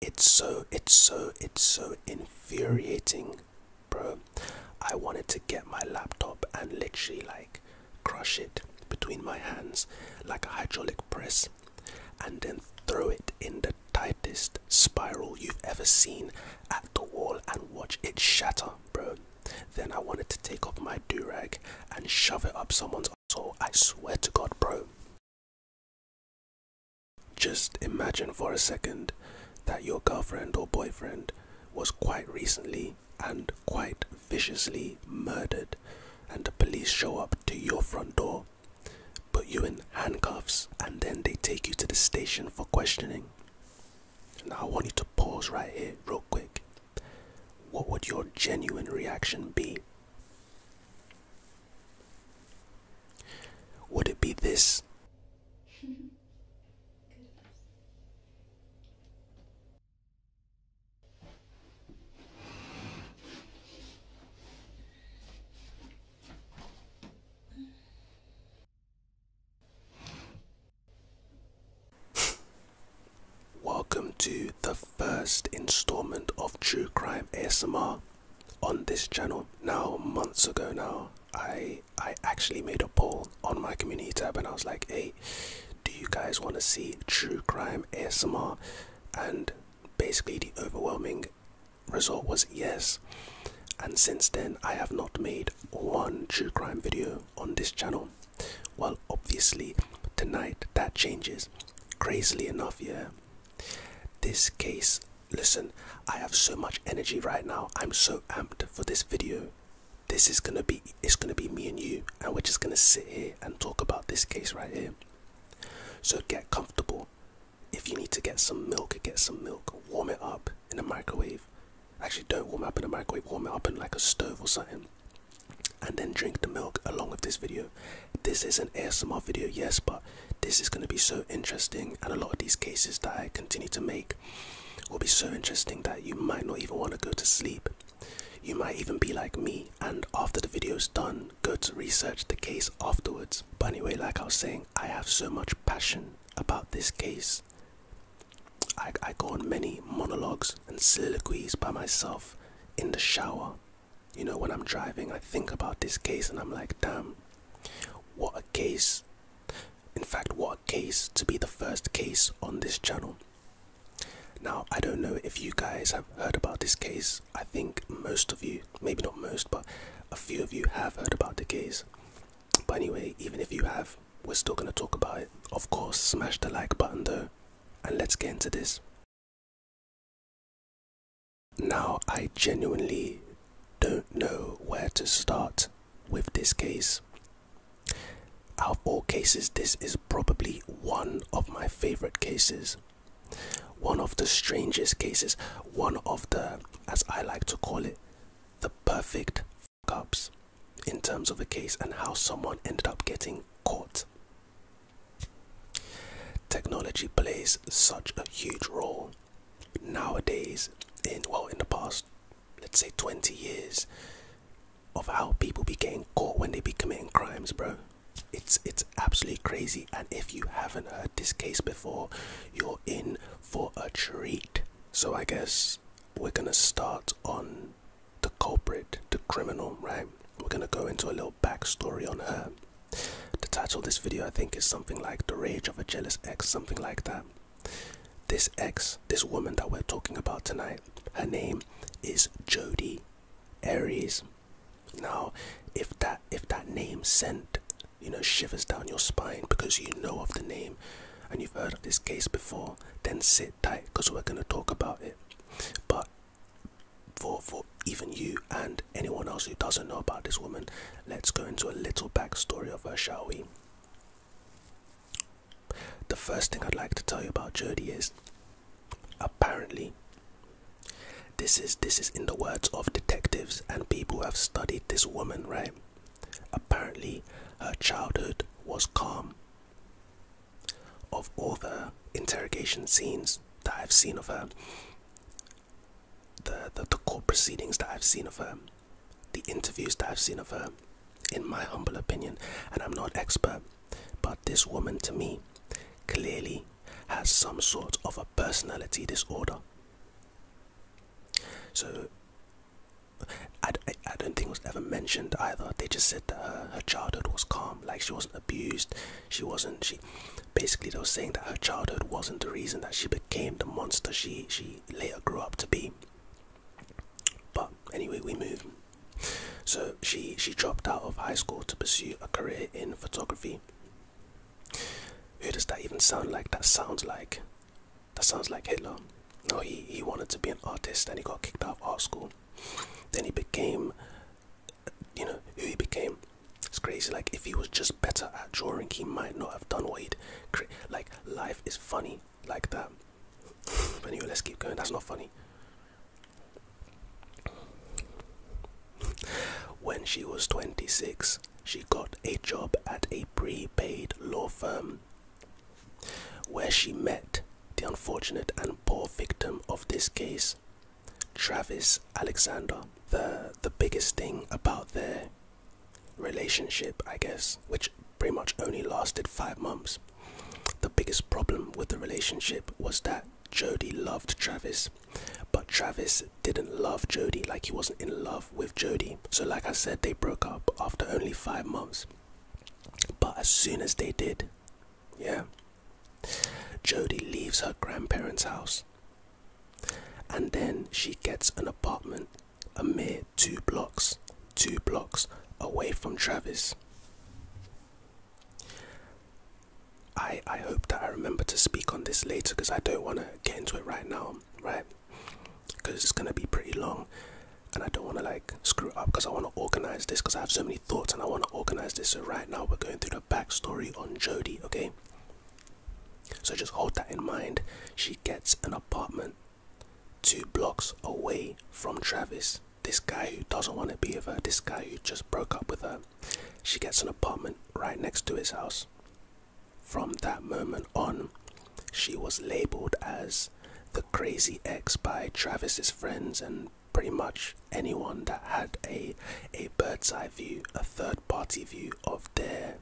It's so, it's so, it's so infuriating, bro. I wanted to get my laptop and literally like crush it between my hands like a hydraulic press and then throw it in the tightest spiral you've ever seen at the wall and watch it shatter, bro. Then I wanted to take off my do rag and shove it up someone's so I swear to God, bro. Just imagine for a second that your girlfriend or boyfriend was quite recently and quite viciously murdered, and the police show up to your front door, put you in handcuffs, and then they take you to the station for questioning. Now, I want you to pause right here, real quick. What would your genuine reaction be? Would it be this? Welcome to the first installment of True Crime ASMR on this channel now months ago now i i actually made a poll on my community tab and i was like hey do you guys want to see true crime asmr and basically the overwhelming result was yes and since then i have not made one true crime video on this channel well obviously tonight that changes crazily enough yeah this case, listen, I have so much energy right now. I'm so amped for this video. This is gonna be it's gonna be me and you, and we're just gonna sit here and talk about this case right here. So get comfortable. If you need to get some milk, get some milk. Warm it up in a microwave. Actually, don't warm it up in a microwave. Warm it up in like a stove or something, and then drink the milk along with this video. This is an ASMR video, yes, but this is going to be so interesting, and a lot of these cases that I continue to make will be so interesting that you might not even want to go to sleep. You might even be like me, and after the video's done, go to research the case afterwards. But anyway, like I was saying, I have so much passion about this case. I, I go on many monologues and soliloquies by myself in the shower you know, when I'm driving, I think about this case and I'm like, damn, what a case. In fact, what a case to be the first case on this channel. Now, I don't know if you guys have heard about this case. I think most of you, maybe not most, but a few of you have heard about the case. But anyway, even if you have, we're still going to talk about it. Of course, smash the like button though, and let's get into this. Now, I genuinely don't know where to start with this case. Out of all cases, this is probably one of my favorite cases. One of the strangest cases. One of the, as I like to call it, the perfect ups in terms of a case and how someone ended up getting caught. Technology plays such a huge role nowadays in well in the past let's say 20 years of how people be getting caught when they be committing crimes bro it's it's absolutely crazy and if you haven't heard this case before you're in for a treat so i guess we're gonna start on the culprit the criminal right we're gonna go into a little backstory on her. The title of this video, I think, is something like The Rage of a Jealous Ex, something like that. This ex, this woman that we're talking about tonight, her name is Jodie Aries. Now, if that if that name sent, you know, shivers down your spine because you know of the name and you've heard of this case before, then sit tight because we're gonna talk about it. But for for even you and anyone else who doesn't know about this woman. Let's go into a little backstory of her, shall we? The first thing I'd like to tell you about Jodie is apparently this is this is in the words of detectives and people who have studied this woman, right? Apparently her childhood was calm. Of all the interrogation scenes, that I've seen of her, the, the, the court proceedings that I've seen of her, the interviews that I've seen of her, in my humble opinion, and I'm not expert, but this woman to me clearly has some sort of a personality disorder. So, I, I, don't think it was ever mentioned either. They just said that her, her childhood was calm, like she wasn't abused, she wasn't she basically was saying that her childhood wasn't the reason that she became the monster she she later grew up to be but anyway we move so she she dropped out of high school to pursue a career in photography who does that even sound like that sounds like that sounds like hitler no he he wanted to be an artist and he got kicked out of art school then he became you know who he became. It's crazy. Like if he was just better at drawing, he might not have done what he'd. Like life is funny like that. but anyway, let's keep going. That's not funny. When she was 26, she got a job at a prepaid law firm where she met the unfortunate and poor victim of this case, Travis Alexander. The the biggest thing about their relationship, I guess, which pretty much only lasted five months. The biggest problem with the relationship was that Jody loved Travis, but Travis didn't love Jody like he wasn't in love with Jody. So like I said, they broke up after only five months. But as soon as they did, yeah, Jodie leaves her grandparents' house and then she gets an apartment a mere two blocks, two blocks away from Travis. I, I hope that I remember to speak on this later because I don't want to get into it right now, right? Because it's going to be pretty long and I don't want to like screw up because I want to organize this because I have so many thoughts and I want to organize this. So, right now, we're going through the backstory on Jodie, okay? So just hold that in mind. She gets an apartment two blocks away from Travis. This guy who doesn't want to be with her, this guy who just broke up with her. She gets an apartment right next to his house. From that moment on, she was labeled as the crazy ex by Travis's friends and pretty much anyone that had a a bird's eye view, a third party view of their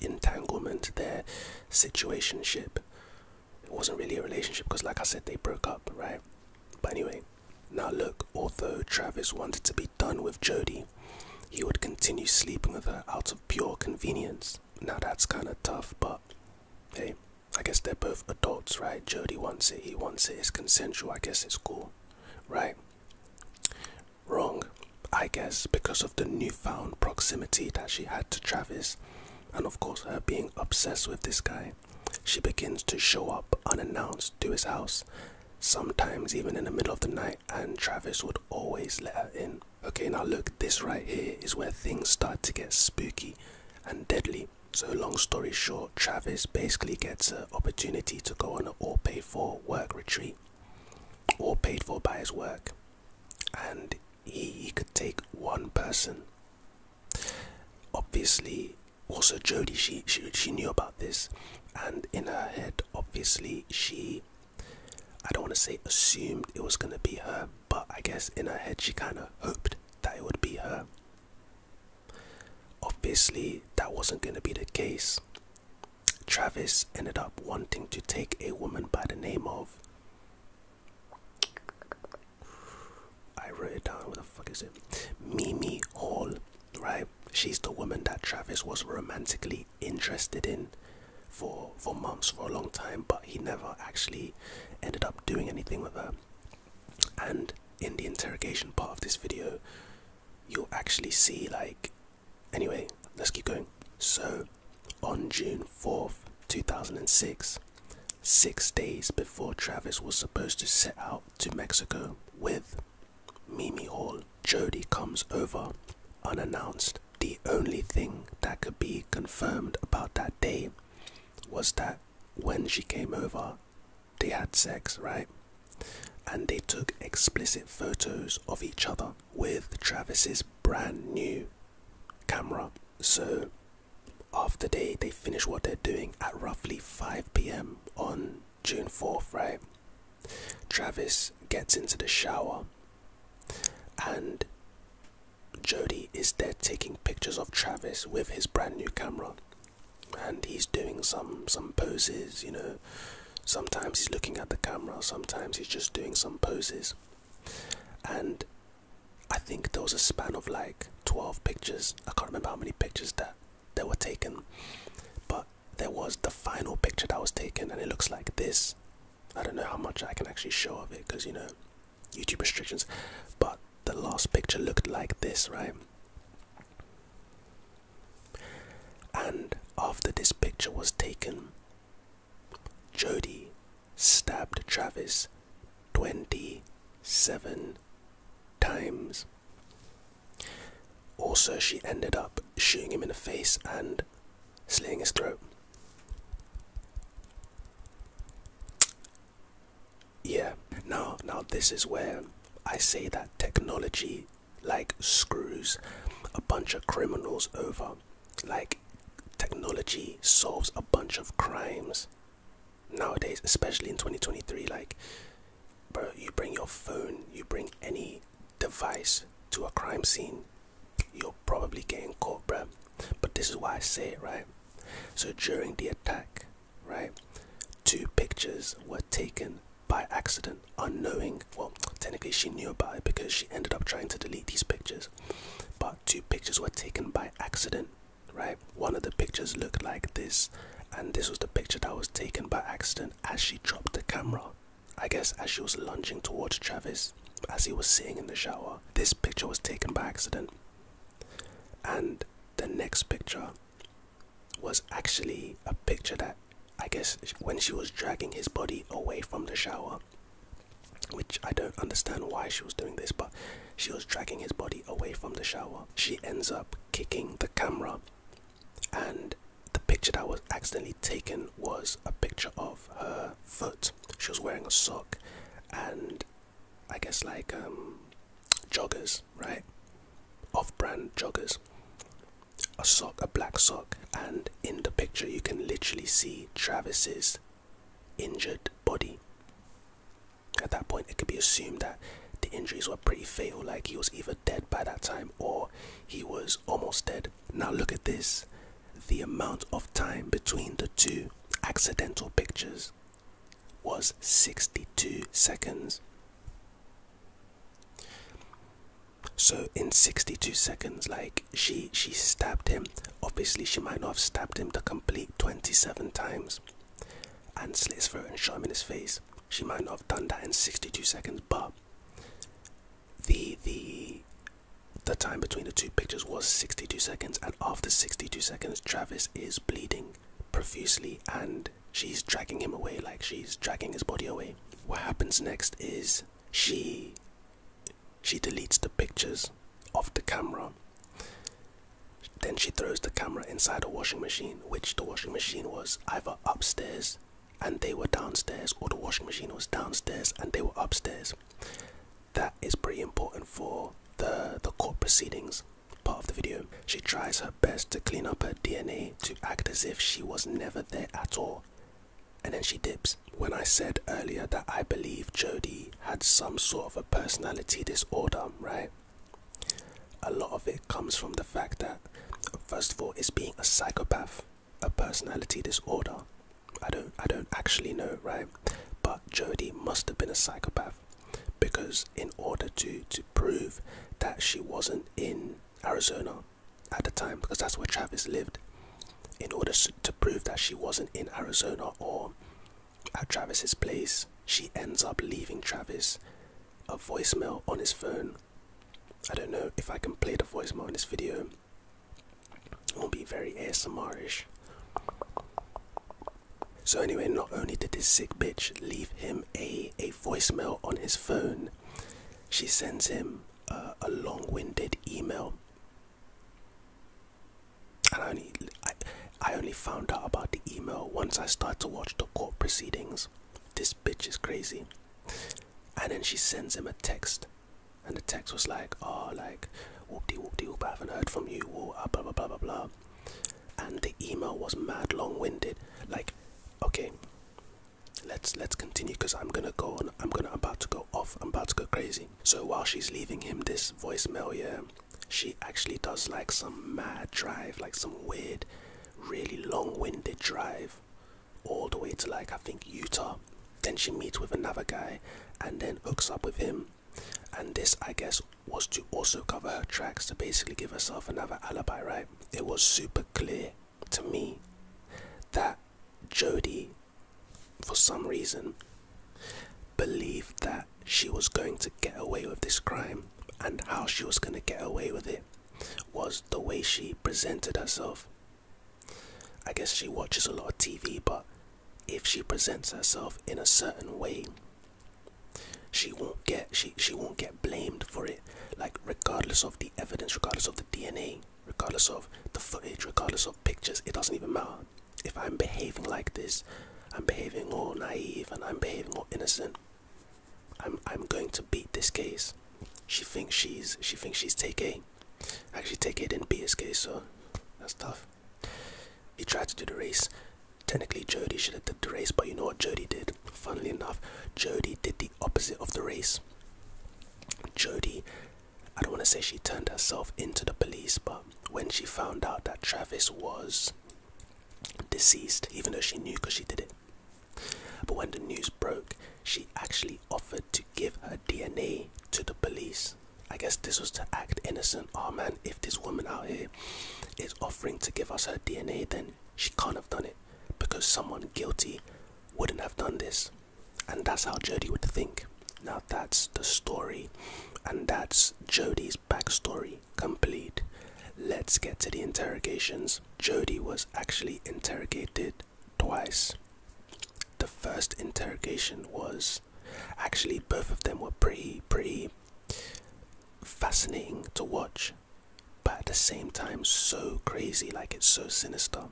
entanglement, their situationship. It wasn't really a relationship because, like I said, they broke up, right? But anyway, now look. Although Travis wanted to be done with Jody, he would continue sleeping with her out of pure convenience. Now that's kind of tough, but hey, I guess they're both adults, right? right? Jody wants it, he wants it, it's consensual, I guess it's cool, right? Wrong, I guess, because of the newfound proximity that she had to Travis, and of course, her being obsessed with this guy. She begins to show up unannounced to his house, sometimes even in the middle of the night, and Travis would always let her in. Okay, now look, this right here is where things start to get spooky and deadly so long story short, Travis basically gets an opportunity to go on an all paid for work retreat, all paid for by his work, and he, he could take one person. Obviously, also Jodie, she, she she knew about this, and in her head, obviously she, I don't want to say assumed it was gonna be her, but I guess in her head she kind of hoped that it would be her. Obviously, that wasn't going to be the case. Travis ended up wanting to take a woman by the name of. I wrote it down. What the fuck is it? Mimi Hall, right? She's the woman that Travis was romantically interested in for for months, for a long time, but he never actually ended up doing anything with her and in the interrogation part of this video you'll actually see like anyway let's keep going so on june 4th 2006 six days before travis was supposed to set out to mexico with mimi hall jody comes over unannounced the only thing that could be confirmed about that day was that when she came over they had sex, right? And they took explicit photos of each other with Travis's brand new camera. So after they, they finish what they're doing at roughly 5 p.m. on June 4th, right? Travis gets into the shower and Jody is there taking pictures of Travis with his brand new camera and he's doing some some poses you know sometimes he's looking at the camera sometimes he's just doing some poses and i think there was a span of like 12 pictures i can't remember how many pictures that that were taken but there was the final picture that was taken and it looks like this i don't know how much i can actually show of it because you know youtube restrictions but the last picture looked like this, right? And after this picture was taken, Jody stabbed Travis 27 times. Also, she ended up shooting him in the face and slaying his throat. Yeah, now now this is where I say that technology like screws a bunch of criminals over. Like technology solves a bunch of crimes nowadays, especially in 2023. Like, bro, you bring your phone, you bring any device to a crime scene, you're probably getting caught, bruh. But this is why I say it, right? So during the attack, right? Two pictures were taken by accident, unknowing. Well, technically, she knew about it because she ended up trying to delete these pictures. But two pictures were taken by accident, right? One of the pictures looked like this, and this was the picture that was taken by accident as she dropped the camera. I guess as she was lunging towards Travis as he was sitting in the shower. This picture was taken by accident. And the next picture was actually a picture that I guess when she was dragging his body away from the shower, which I don't understand why she was doing this, but she was dragging his body away from the shower. She ends up kicking the camera, and the picture that was accidentally taken was a picture of her foot. She was wearing a sock, and I guess like um, joggers, right? Off-brand joggers. A sock, a black sock, and in the picture you can literally see Travis's injured body. At that point, it could be assumed that the injuries were pretty fatal, like he was either dead by that time or he was almost dead. Now, look at this the amount of time between the two accidental pictures was 62 seconds. So in 62 seconds, like she she stabbed him. Obviously, she might not have stabbed him the complete 27 times and slit his throat and shot him in his face. She might not have done that in 62 seconds, but the the the time between the two pictures was 62 seconds, and after 62 seconds, Travis is bleeding profusely and she's dragging him away like she's dragging his body away what happens next is she she deletes the pictures off the camera then she throws the camera inside a washing machine which the washing machine was either upstairs and they were downstairs or the washing machine was downstairs and they were upstairs that is pretty important for the the court proceedings part of the video. She tries her best to clean up her DNA to act as if she was never there at all. And then she dips. When I said earlier that I believe Jodie had some sort of a personality disorder, right? A lot of it comes from the fact that, first of all, it's being a psychopath, a personality disorder. I don't, I don't actually know, right? But Jodie must have been a psychopath because in order to to prove that she wasn't in Arizona at the time because that's where Travis lived in order to prove that she wasn't in Arizona or at Travis's place she ends up leaving Travis a voicemail on his phone I don't know if I can play the voicemail in this video it will be very ASMR-ish so anyway, not only did this sick bitch leave him a a voicemail on his phone, she sends him uh, a long-winded email. And I only I, I only found out about the email once I started to watch the court proceedings. This bitch is crazy. And then she sends him a text, and the text was like, "Oh, like, whoop de whoop de whoop. I haven't heard from you. Whoop, ah, blah blah blah blah blah." and the email was mad long-winded like okay let's let's continue because i'm gonna go on i'm gonna I'm about to go off i'm about to go crazy so while she's leaving him this voicemail yeah she actually does like some mad drive like some weird really long-winded drive all the way to like i think utah then she meets with another guy and then hooks up with him and this i guess was to also cover her tracks to basically give herself another alibi right it was super clear to me that jody for some reason believed that she was going to get away with this crime and how she was going to get away with it was the way she presented herself i guess she watches a lot of tv but if she presents herself in a certain way she won't get she she won't get blamed for it like regardless of the evidence regardless of the dna regardless of the footage regardless of pictures it doesn't even matter if i'm behaving like this i'm behaving all naive and i'm behaving all innocent i'm i'm going to beat this case she thinks she's she thinks she's take a actually take it didn't case so that's tough he tried to do the race. Technically, Jody should have did the race, but you know what Jody did? Funnily enough, Jody did the opposite of the race. Jody, I don't want to say she turned herself into the police, but when she found out that Travis was deceased, even though she knew because she did it, but when the news broke, she actually offered to give her DNA to the police. I guess this was to act innocent. Oh man, if this woman out here is offering to give us her DNA, then she can't have done it because someone guilty wouldn't have done this. And that's how Jody would think. Now that's the story, and that's Jody's backstory complete. Let's get to the interrogations. Jody was actually interrogated twice. The first interrogation was Actually, both of them were pretty, pretty fascinating to watch, but at the same time, so crazy. Like, it's so sinister.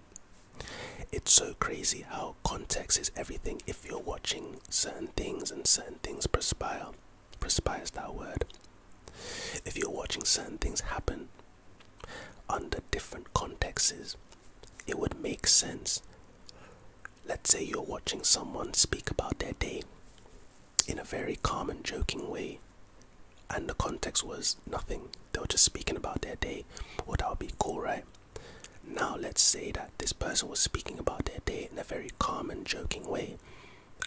It's so crazy how context is everything if you're watching certain things and certain things perspire. Perspire is that word. If you're watching certain things happen under different contexts, it would make sense Let's say you're watching someone speak about their day in a very calm and joking way, and the context was nothing. They were just speaking about their day. Well, that would be cool, right? Now, let's say that this person was speaking about their day in a very calm and joking way,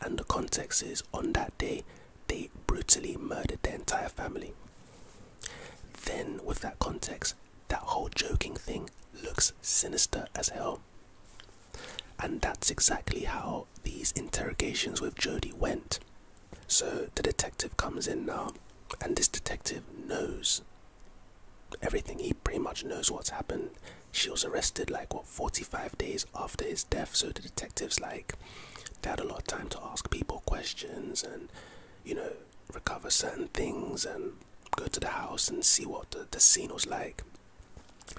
and the context is on that day they brutally murdered their entire family. Then, with that context, that whole joking thing looks sinister as hell. And that's exactly how these interrogations with Jody went. So the detective comes in now, and this detective knows everything. He pretty much knows what's happened. She was arrested like what 45 days after his death, so the detectives like they had a lot of time to ask people questions and you know recover certain things and go to the house and see what the, the scene was like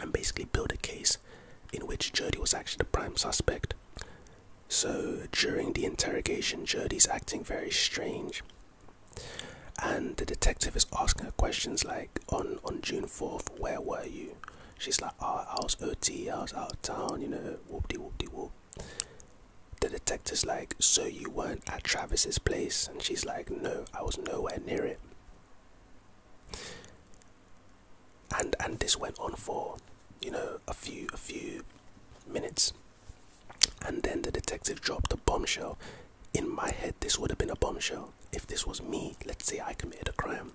and basically build a case in which Jodie was actually the prime suspect. So during the interrogation, Jodie's acting very strange. And the detective is asking her questions like, on, on June 4th, where were you? She's like, oh, I was OT, I was out of town, you know, whoop de whoop de whoop. The detective's like, so you weren't at Travis's place, and she's like, no, I was nowhere near it. And and this went on for, you know, a few a few minutes, and then the detective dropped a bombshell. In my head, this would have been a bombshell. If this was me, let's say I committed a crime,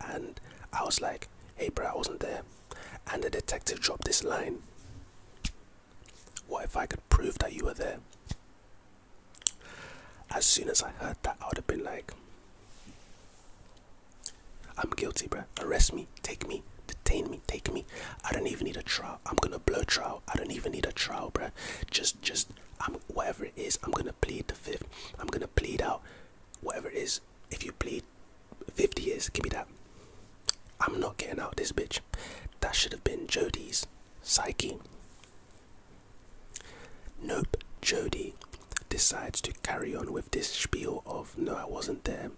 and I was like, hey, bro, I wasn't there. And the detective dropped this line. What if I could prove that you were there? As soon as I heard that, I would have been like, I'm guilty, bruh. Arrest me, take me, detain me, take me. I don't even need a trial. I'm gonna blow trial. I don't even need a trial, bruh. Just, just, I'm whatever it is. I'm gonna plead the fifth. I'm gonna plead out whatever it is. If you plead 50 years, give me that. I'm not getting out of this bitch. That should have been Jodie's psyche. Nope, Jody decides to carry on with this spiel of no, I wasn't there.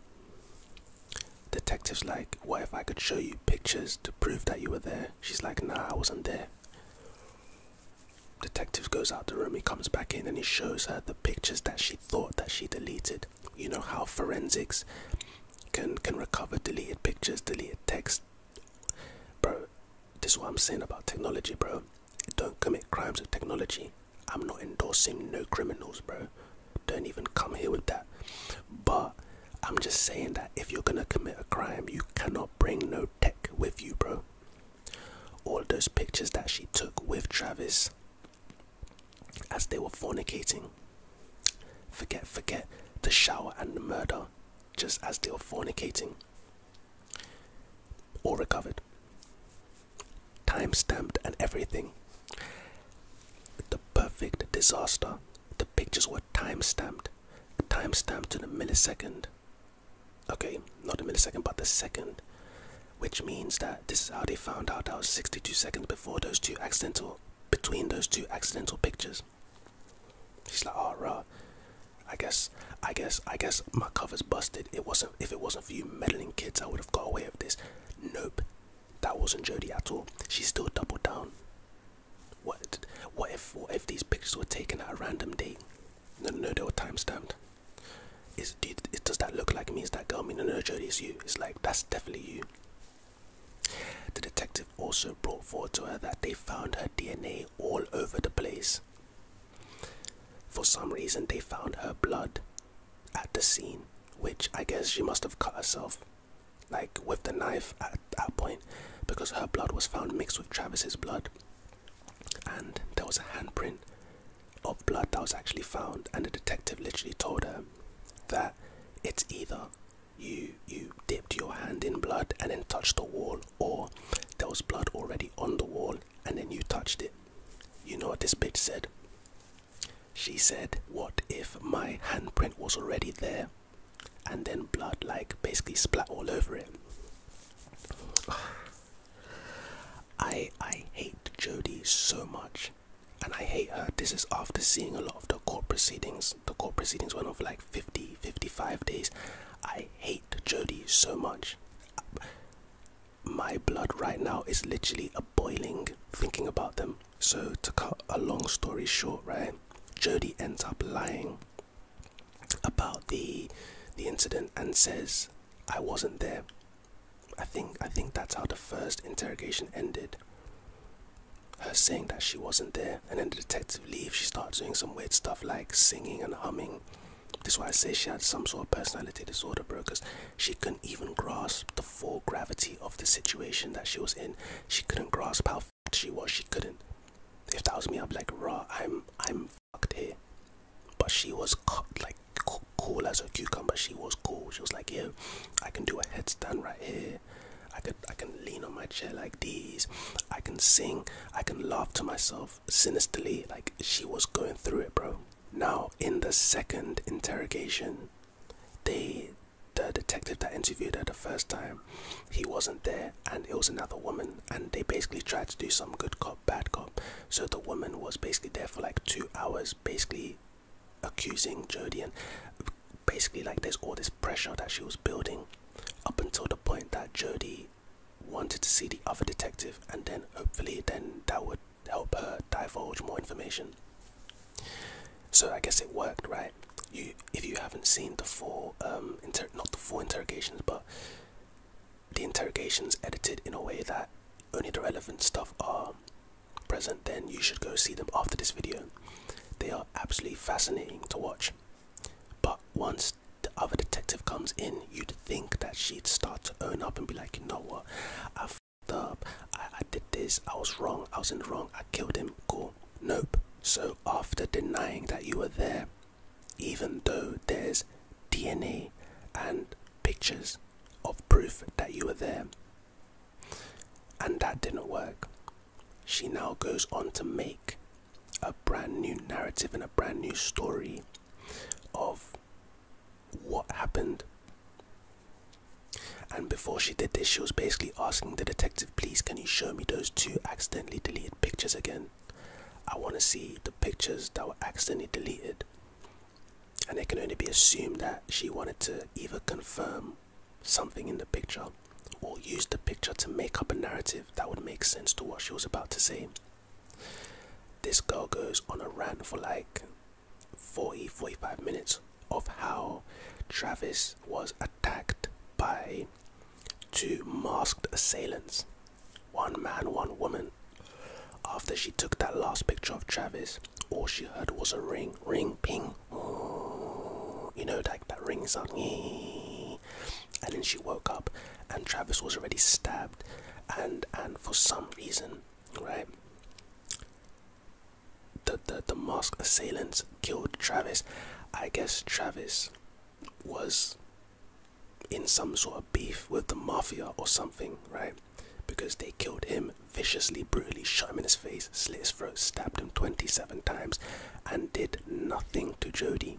Detective's like, What if I could show you pictures to prove that you were there? She's like, Nah, I wasn't there. Detective goes out the room, he comes back in and he shows her the pictures that she thought that she deleted. You know how forensics can can recover deleted pictures, deleted text, Bro, this is what I'm saying about technology, bro. Don't commit crimes with technology. I'm not endorsing no criminals, bro. Don't even come here with that. But I'm just saying that if you're gonna commit a crime, you cannot bring no tech with you, bro. All those pictures that she took with Travis as they were fornicating, Forget, forget the shower and the murder, just as they were fornicating. All recovered. Time stamped and everything. The perfect disaster. The pictures were time stamped. Time stamped to the millisecond. Okay, not the millisecond, but the second. Which means that this is how they found out that was 62 seconds before those two accidental, between those two accidental pictures guess. He's like, oh, rah. I guess, I guess, I guess my cover's busted. It wasn't. If it wasn't for you meddling kids, I would have got away with this. Nope, that wasn't Jody at all. She still doubled down. What? What if? What if these pictures were taken at a random date? No, no, they were time stamped. Is, does that look like me? Is that girl me? No, no, Jodie, you. It's like that's definitely you. The detective also brought forward to her that they found her DNA all over the place. For some reason, they found her blood at the scene, which I guess she must have cut herself, like with the knife at that point, because her blood was found mixed with Travis's blood, and there was a handprint of blood that was actually found, and the detective literally told her that it's either you you dipped your hand in blood and then touched the wall or there was blood already on the wall and then you touched it you know what this bitch said she said what if my handprint was already there and then blood like basically splat all over it i i hate jodie so much and i hate her this is after seeing a lot of the court proceedings the court proceedings went on for like 50, 55 days. I hate Jody so much. My blood right now is literally a boiling thinking about them. So to cut a long story short, right? Jody ends up lying about the the incident and says I wasn't there. I think I think that's how the first interrogation ended her saying that she wasn't there and then the detective leaves she starts doing some weird stuff like singing and humming this is why i say she had some sort of personality disorder bro because she couldn't even grasp the full gravity of the situation that she was in she couldn't grasp how fucked she was she couldn't if that was me i'd be like raw i'm i'm fucked here but she was like cool as a cucumber she was cool she was like yeah i can do a headstand right here I could I can lean on my chair like these. I can sing. I can laugh to myself sinisterly like she was going through it, bro. Now in the second interrogation, they the detective that interviewed her the first time, he wasn't there and it was another woman and they basically tried to do some good cop, bad cop. So the woman was basically there for like two hours, basically accusing Jodie and basically like there's all this pressure that she was building up until the point that Jodie wanted to see the other detective and then hopefully then that would help her divulge more information. So I guess it worked, right? You if you haven't seen the full um, not the full interrogations but the interrogations edited in a way that only the relevant stuff are present then you should go see them after this video they are absolutely fascinating to watch. But once the other detective comes in, you'd think that she'd start to own up and be like, you know what, I fucked up, I, I did this, I was wrong, I was in the wrong, I killed him, cool. Nope. So after denying that you were there, even though there's DNA and pictures of proof that you were there, and that didn't work. She now goes on to make a brand new narrative and a brand new story of what happened. And before she did this, she was basically asking the detective, please, can you show me those two accidentally deleted pictures again? I want to see the pictures that were accidentally deleted. And it can only be assumed that she wanted to either confirm something in the picture or use the picture to make up a narrative that would make sense to what she was about to say. This girl goes on a rant for like 40 45 minutes of how Travis was attacked by two masked assailants, one man, one woman. After she took that last picture of Travis, all she heard was a ring, ring, ping, You know, that that on me, And then she woke up, and Travis was already stabbed, and and for some reason, right, the the the masked assailants killed Travis. I guess Travis was in some sort of beef with the mafia or something, right? Because they killed him viciously, brutally shot him in his face, slit his throat, stabbed him 27 times, and did nothing to Jody.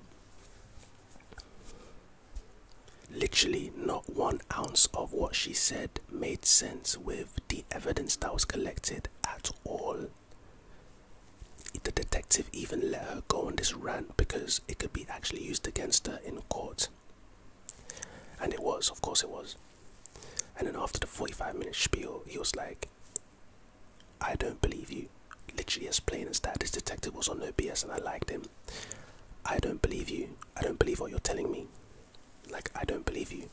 Literally, not one ounce of what she said made sense with the evidence that was collected at all. The detective even let her go on this rant because it could be actually used against her in court. And it was, of course, it was. And then after the 45 minute spiel, he was like, I don't believe you. Literally as plain as that. This detective was on no BS and I liked him. I don't believe you. I don't believe what you're telling me. Like, I don't believe you.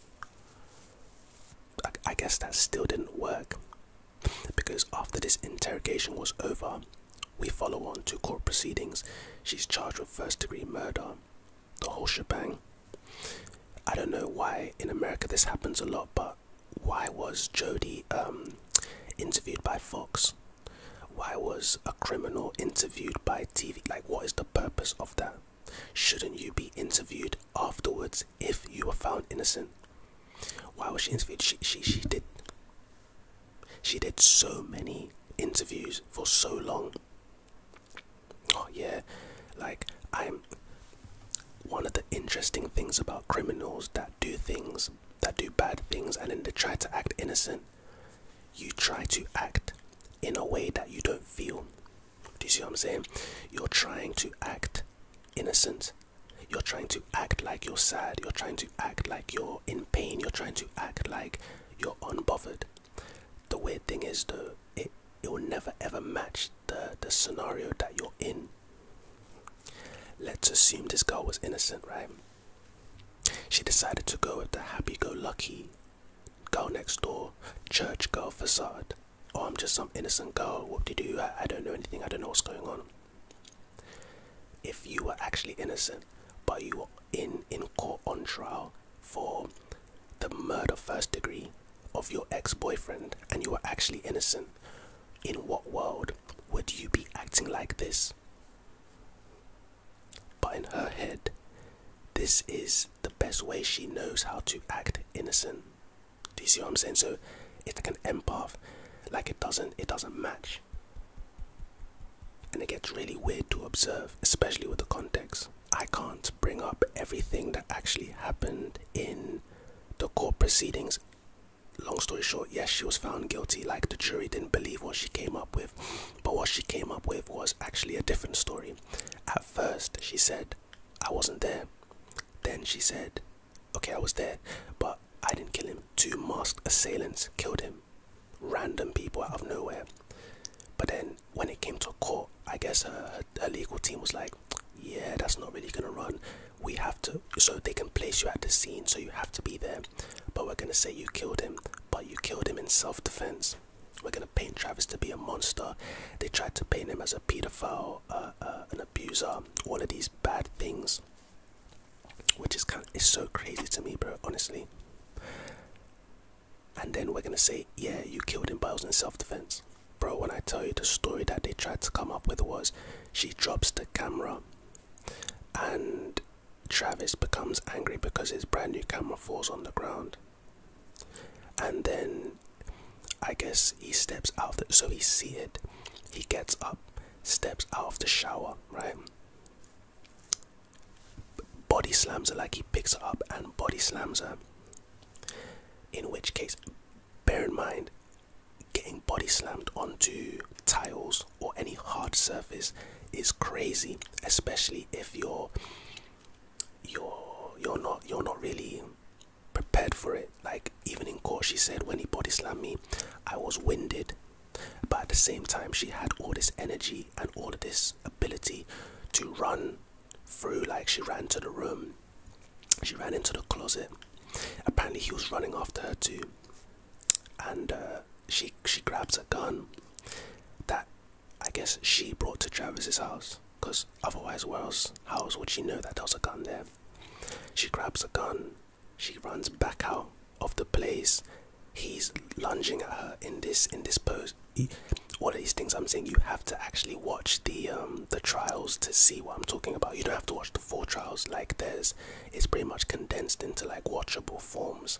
I, I guess that still didn't work. Because after this interrogation was over, we follow on to court proceedings. She's charged with first degree murder the whole shebang. I don't know why in America this happens a lot, but why was Jodie um, interviewed by Fox? Why was a criminal interviewed by TV? Like, what is the purpose of that? Shouldn't you be interviewed afterwards if you were found innocent? Why was she interviewed? She she she did. She did so many interviews for so long. Oh yeah, like I'm one of the interesting things about criminals that do things that do bad things and then they try to act innocent. You try to act in a way that you don't feel. Do you see what I'm saying? You're trying to act innocent. You're trying to act like you're sad. You're trying to act like you're in pain. You're trying to act like you're unbothered the weird thing is though it it will never ever match the the scenario that you're in let's assume this girl was innocent right she decided to go with the happy-go-lucky girl next door church girl facade oh i'm just some innocent girl what do do I don't know anything i don't know what's going on if you were actually innocent but you were in in court on trial for the murder first degree of your ex-boyfriend and you were actually innocent in what world would you be acting like this but in her head this is the best way she knows how to act innocent do you see what i'm saying so it's like an empath like it doesn't it doesn't match and it gets really weird to observe especially with the context I can't bring up everything that actually happened in the court proceedings. Long story short, yes, she was found guilty. Like the jury didn't believe what she came up with, but what she came up with was actually a different story. At first, she said, I wasn't there. Then she said, Okay, I was there, but I didn't kill him. Two masked assailants killed him. Random people out of nowhere. But then when it came to court, I guess a uh, her legal team was like, yeah, that's not really gonna run. We have to, so they can place you at the scene, so you have to be there. But we're gonna say you killed him, but you killed him in self-defense. We're gonna paint Travis to be a monster. They tried to paint him as a pedophile, uh, uh, an abuser, all of these bad things, which is kind, of, so crazy to me, bro. Honestly, and then we're gonna say, yeah, you killed him, but it in self-defense. Bro, when I tell you the story that they tried to come up with was, she drops the camera, and Travis becomes angry because his brand new camera falls on the ground, and then I guess he steps out. The, so he's seated. He gets up, steps out of the shower, right? Body slams her like he picks her up and body slams her. In which case, bear in mind getting body slammed onto tiles or any hard surface is crazy, especially if you're you're you're not you're not really prepared for it. Like even in court she said when he body slammed me, I was winded. But at the same time she had all this energy and all this ability to run through like she ran to the room she ran into the closet apparently he was running after her too and uh, she she grabs a gun that i guess she brought to travis's house because otherwise where else how else would she know that there a gun there she grabs a gun she runs back out of the place he's lunging at her in this in this pose all of these things I'm saying, you have to actually watch the um, the trials to see what I'm talking about. You don't have to watch the full trials. Like there's, it's pretty much condensed into like watchable forms.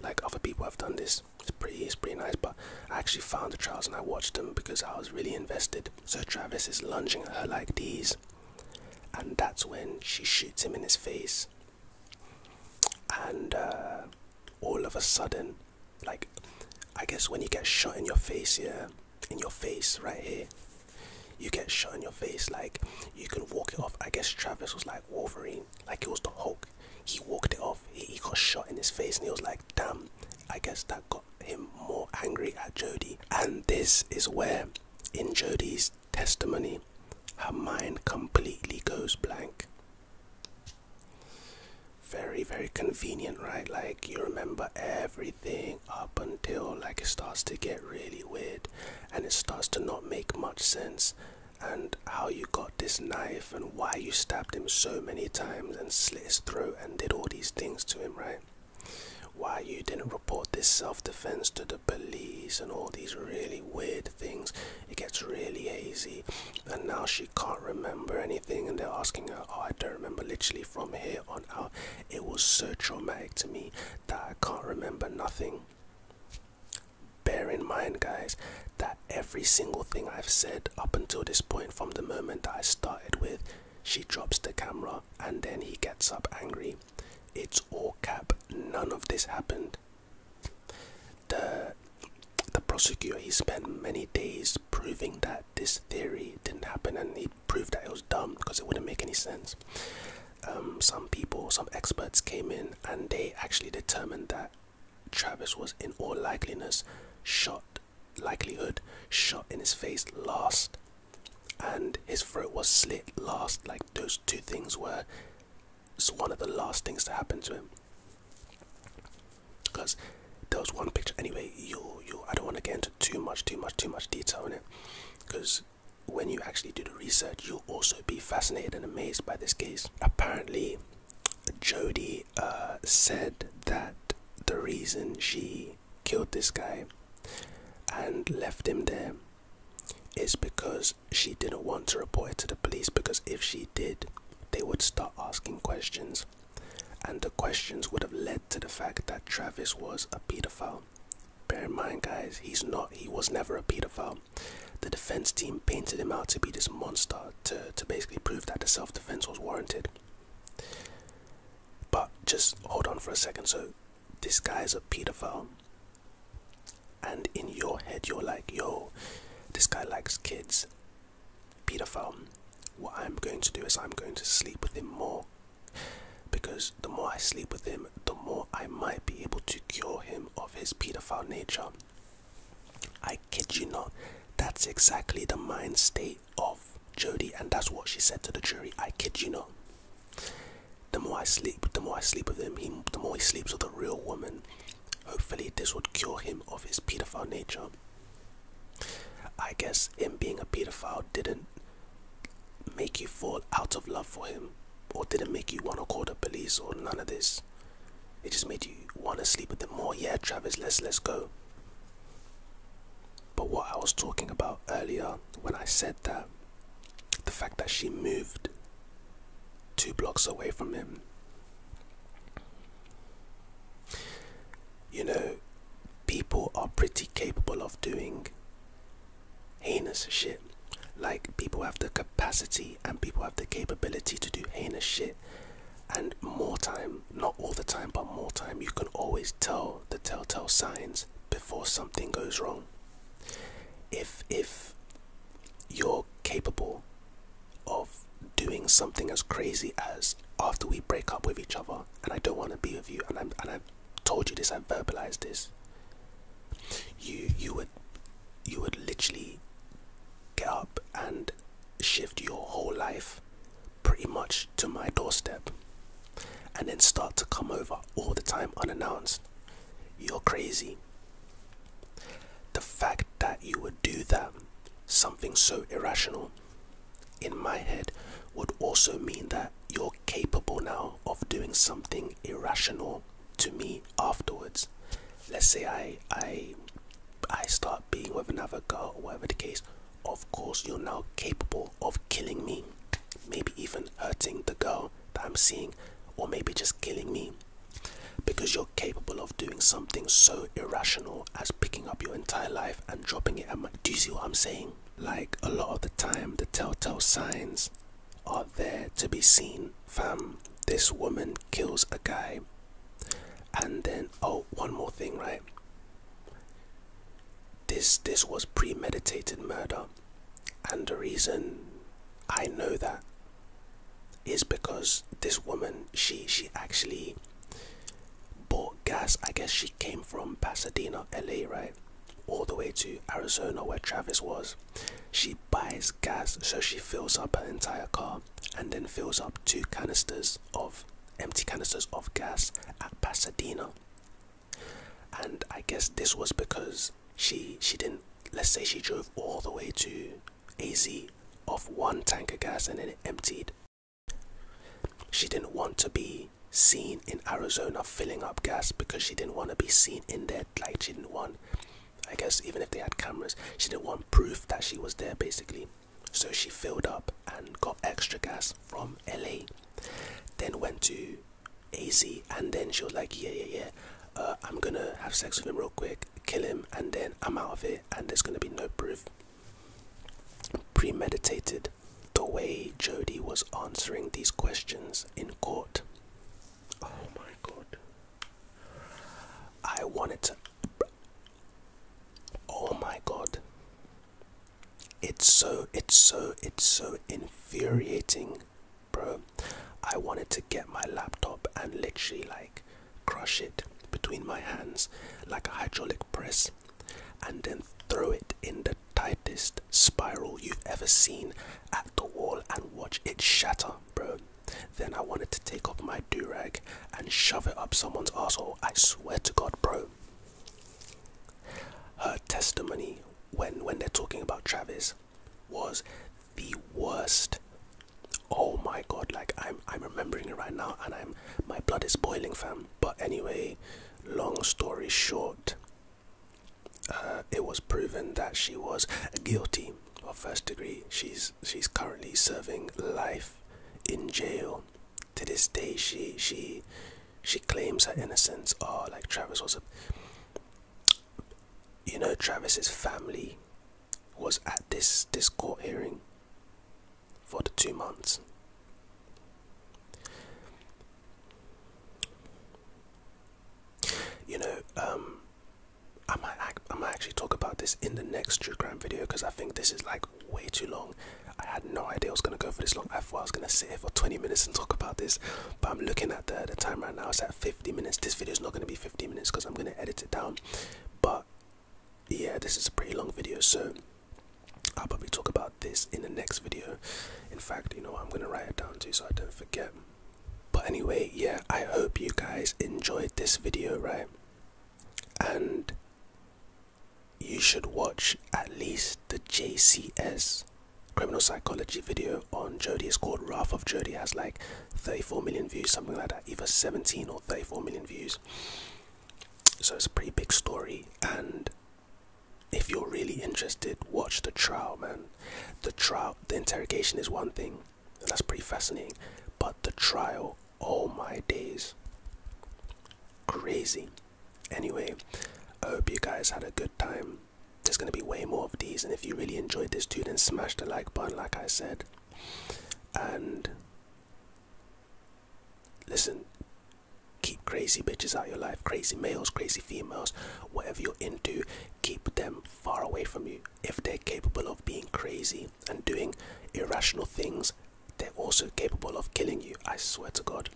Like other people have done this. It's pretty, it's pretty nice. But I actually found the trials and I watched them because I was really invested. So Travis is lunging at her like these, and that's when she shoots him in his face. And uh, all of a sudden, like I guess when you get shot in your face, yeah, in your face right here, you get shot in your face. Like you can walk it off. I guess Travis was like Wolverine, like it was the Hulk. He walked it off. He, got shot in his face, and he was like, "Damn." I guess that got him more angry at Jody, and this is where, in Jody's testimony, her mind completely goes blank. Very, very convenient, right? Like you remember everything up until like it starts to get really weird and it starts to not make much sense and how you got this knife and why you stabbed him so many times and slit his throat and did all these things to him, right? Why you didn't report this self defense to the police and all these really weird things. It gets really hazy and now she can't remember anything and they're asking her oh i don't remember literally from here on out it was so traumatic to me that i can't remember nothing bear in mind guys that every single thing i've said up until this point from the moment i started with she drops the camera and then he gets up angry it's all cap none of this happened the, the prosecutor he spent many days proving that this theory didn't happen and he proved that it was dumb because it wouldn't make any sense. Um, some people, some experts came in and they actually determined that Travis was in all likeliness shot, likelihood, shot in his face last and his throat was slit last. Like those two things were one of the last things to happen to him because there was one picture anyway you you i don't want to get into too much too much too much detail in it because when you actually do the research you'll also be fascinated and amazed by this case apparently jody uh, said that the reason she killed this guy and left him there is because she didn't want to report it to the police because if she did they would start asking questions and the questions would have led to the fact that Travis was a pedophile. Bear in mind, guys, he's not, he was never a pedophile. The defense team painted him out to be this monster to, to basically prove that the self defense was warranted. But just hold on for a second. So, this guy's a pedophile, and in your head, you're like, yo, this guy likes kids paedophile, what I'm going to do is I'm going to sleep with him more because the more I sleep with him, the more I might be able to cure him of his paedophile nature. I kid you not, that's exactly the mind state of Jodie, and that's what she said to the jury. I kid you not. The more I sleep, the more I sleep with him, the more he sleeps with a real woman, Hopefully, this would cure him of his pedophile nature. I guess him being a pedophile didn't make you fall out of love for him, or didn't make you want to call the police, or none of this. It just made you want to sleep with him more. Yeah, Travis, let's let's go. But what I was talking about earlier when I said that the fact that she moved two blocks away from him you know, people are pretty capable of doing heinous shit. Like, people have the capacity and people have the capability to do heinous shit. And more time, not all the time, but more time, you can always tell the telltale signs before something goes wrong. If, if you're capable of doing something as crazy as after we break up with each other and I don't want to be with you and i and i told you this i verbalized this you you would you would literally get up and shift your whole life pretty much to my doorstep and then start to come over all the time unannounced you're crazy the fact that you would do that, something so irrational, in my head, would also mean that you're capable now of doing something irrational to me afterwards. Let's say I I I start being with another girl or whatever the case, of course you're now capable of killing me. Maybe even hurting the girl that I'm seeing, or maybe just killing me because you're capable of doing something so irrational as picking up your entire life and dropping it at my. Do you see what I'm saying? Like a lot of the time, the telltale signs are there to be seen. Fam, this woman kills a guy. And then, oh, one more thing, right? This this was premeditated murder, and the reason I know that is because this woman she she actually bought gas i guess she came from pasadena la right all the way to arizona where travis was she buys gas so she fills up her entire car and then fills up two canisters of empty canisters of gas at pasadena and i guess this was because she she didn't let's say she drove all the way to AZ of one tanker gas and then it emptied. She didn't want to be seen in Arizona filling up gas because she didn't want to be seen in there. Like, she didn't want, I guess, even if they had cameras, she didn't want proof that she was there basically. So she filled up and got extra gas from LA, then went to AZ, and then she was like, Yeah, yeah, yeah, uh, I'm gonna have sex with him real quick, kill him, and then I'm out of here and there's going to be no proof. Premeditated the way Jody was answering these questions in court. Oh my god. I wanted to. Oh my god. It's so, it's so, it's so infuriating, bro. I wanted to get my laptop and literally like crush it between my hands like a hydraulic press, and then throw it in the tightest spiral you've ever seen at the wall and watch it shatter, bro. Then I wanted to take off my do rag and shove it up someone's asshole. I swear to God, bro. Her testimony when when they're talking about Travis was the worst. Oh my god, like I'm I'm remembering it right now and I'm my blood is boiling fam. But anyway, long story short, uh, it was proven that she was guilty of first degree. She's she's currently serving life in jail. To this day she she she claims her innocence. Or oh, like Travis was a you know Travis's family was at this this court hearing for the two months. You know, um, I might I might actually talk about this in the next true crime video because I think this is like way too long. I had no idea I was gonna go for this long. I thought I was gonna sit here for 20 minutes and talk about this, but I'm looking at the, the time right now. It's at 50 minutes. This video is not gonna be 50 minutes because I'm gonna edit it down. But yeah, this is a pretty long video, so I'll probably talk about this in the next video. In fact, you know, I'm gonna write it down too so I don't forget. But anyway, yeah, I hope you guys enjoyed this video, right? And you should watch at least the JCS criminal psychology video on Jodie. It's called Wrath of Jodie. has like 34 million views, something like that, either 17 or 34 million views. So it's a pretty big story. And if you're really interested, watch the trial, man. The trial, the interrogation is one thing, that's pretty fascinating. But the trial, oh my days, crazy. Anyway, I hope you guys had a good time. There's going to be way more of these, and if you really enjoyed this, too, then smash the like button, like I said. And listen, keep crazy bitches out of your life, crazy males, crazy females, whatever you're into, keep them far away from you. If they're capable of being crazy and doing irrational things, they're also capable of killing you. I swear to God.